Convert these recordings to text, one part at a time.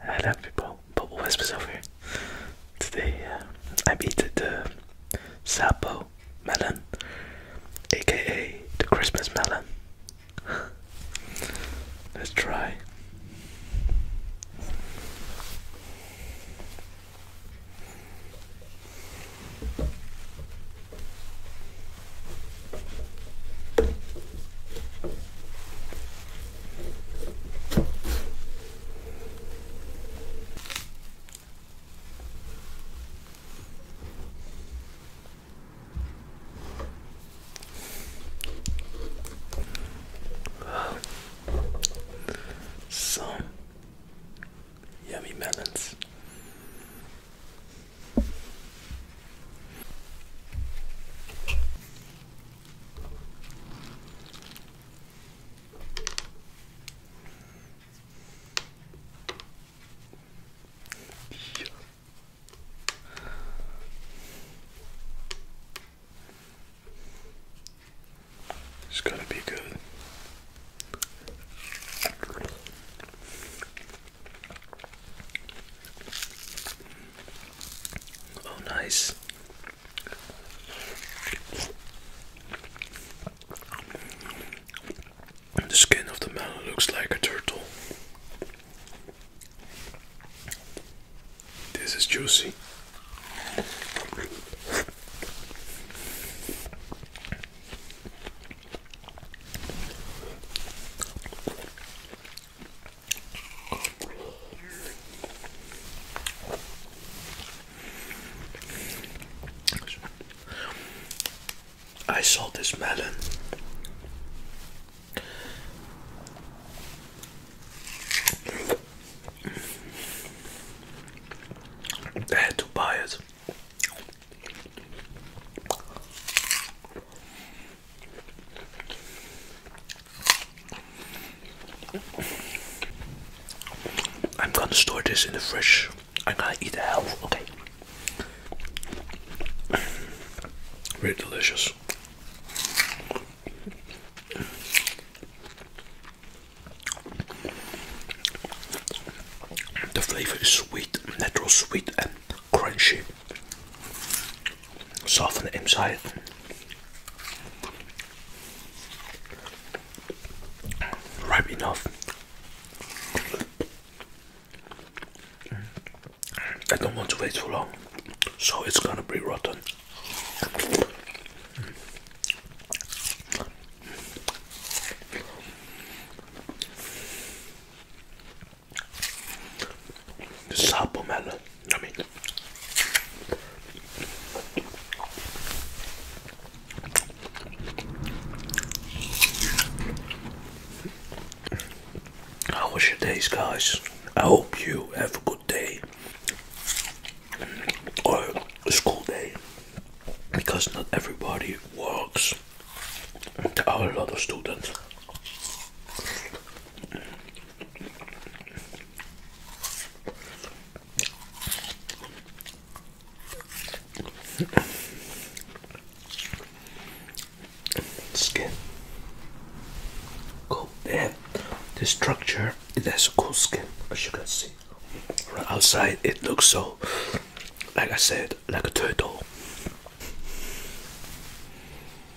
Hello people, we're Whispers over here. Today uh, I'm eating the Sapo melon, aka the Christmas melon. Let's try. Some yummy melons. It's going to be good. Oh, nice. The skin of the melon looks like a turtle. This is juicy. I saw this melon. I to buy it. I'm gonna store this in the fridge. I'm gonna eat the hell, okay? Very delicious. The flavor is sweet, natural sweet, and crunchy soften the inside. Ripe enough. I don't want to wait too long, so it's gonna be rotten. Sapo melon. I mean, how was your days, guys? I hope you have a good day or a school day because not everybody works. There are a lot of students. Skin. Cool. Yeah. The structure it has cool skin as you can see. Right outside it looks so like I said like a turtle.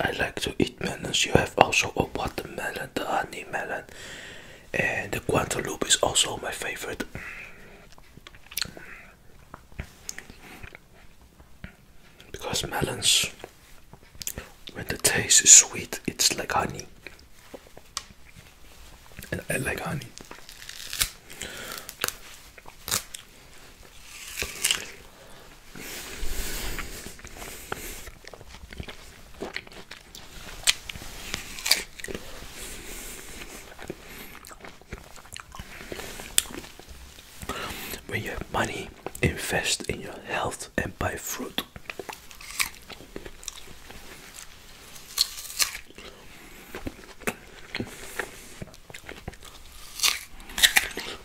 I like to eat melons. You have also a watermelon, the honey melon, and the Guantaloupe is also my favorite. Because melons, when the taste is sweet, it's like honey, and I like honey. When you have money, invest in your health and buy fruit.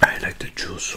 I like the juice.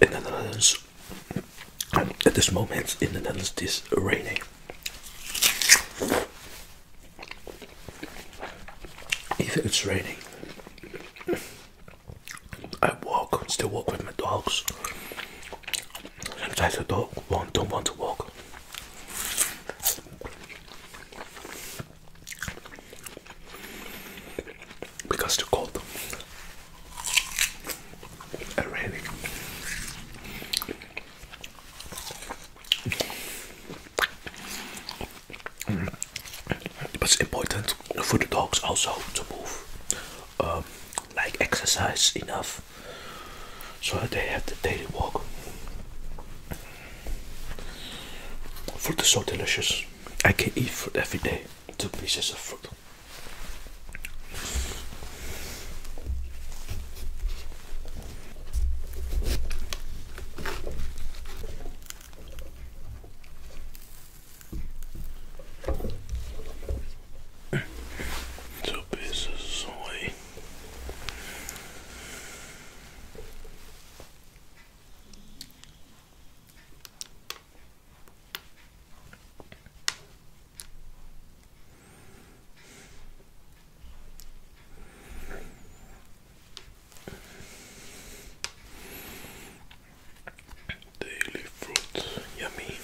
In the Netherlands, at this moment in the Netherlands, it is raining. If it's raining, I walk, still walk with my dogs. Sometimes the dog won't, don't want to walk. Because it's cold and raining. But it's important for the dogs also to move, um, like exercise enough so they have the daily walk. Fruit is so delicious. I can eat fruit every day. Two pieces of fruit. Two pieces away. Daily fruit, yummy.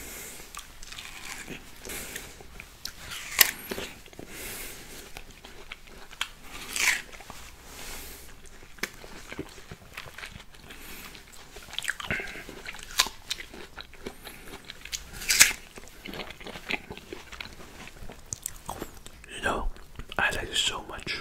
You know, I like it so much.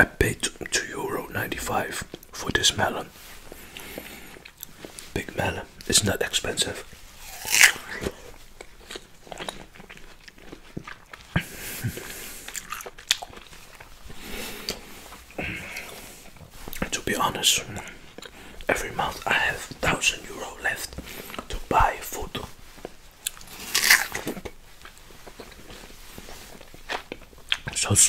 I paid two euro ninety-five for this melon. Big melon. It's not expensive. To be honest, every month I have thousand euro left to buy food. So it's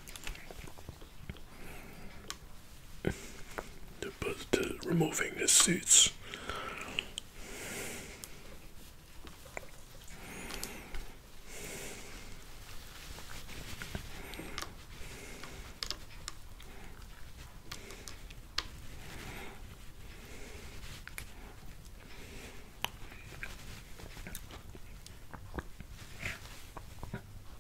But removing the seats.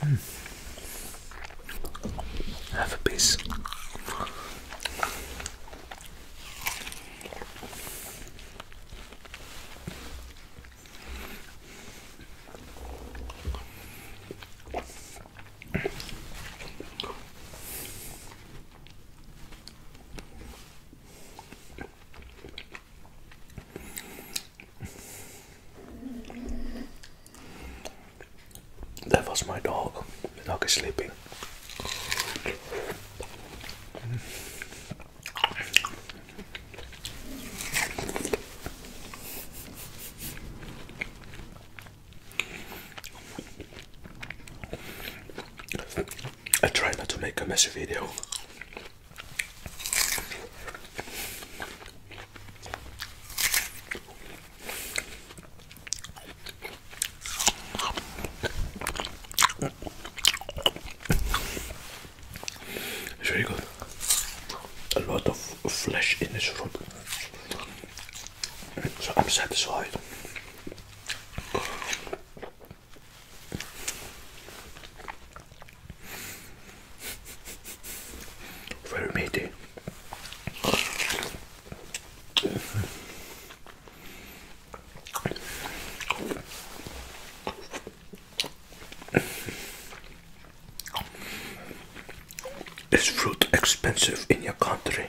Mm. Have a piece. That was my dog. The dog is sleeping. I try not to make a messy video. It's very good. A lot of flesh in this fruit. So I'm satisfied. Very meaty. Is fruit expensive in your country?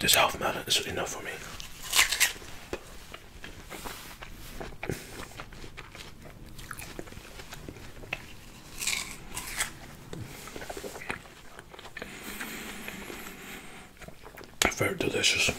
This half melon is enough for me. Very delicious.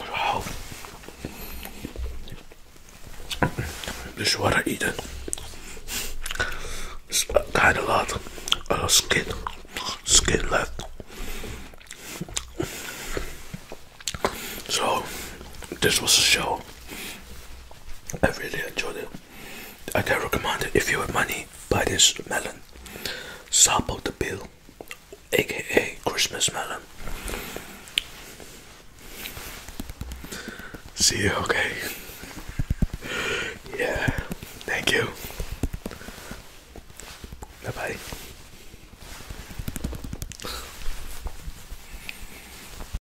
Wow. This is what I kind of lot of skin, skin left. So, this was a show. I really enjoyed it. I can recommend it if you have money, buy this melon. Sapo the Bill, aka Christmas melon. See you, okay? Yeah, thank you. Bye bye.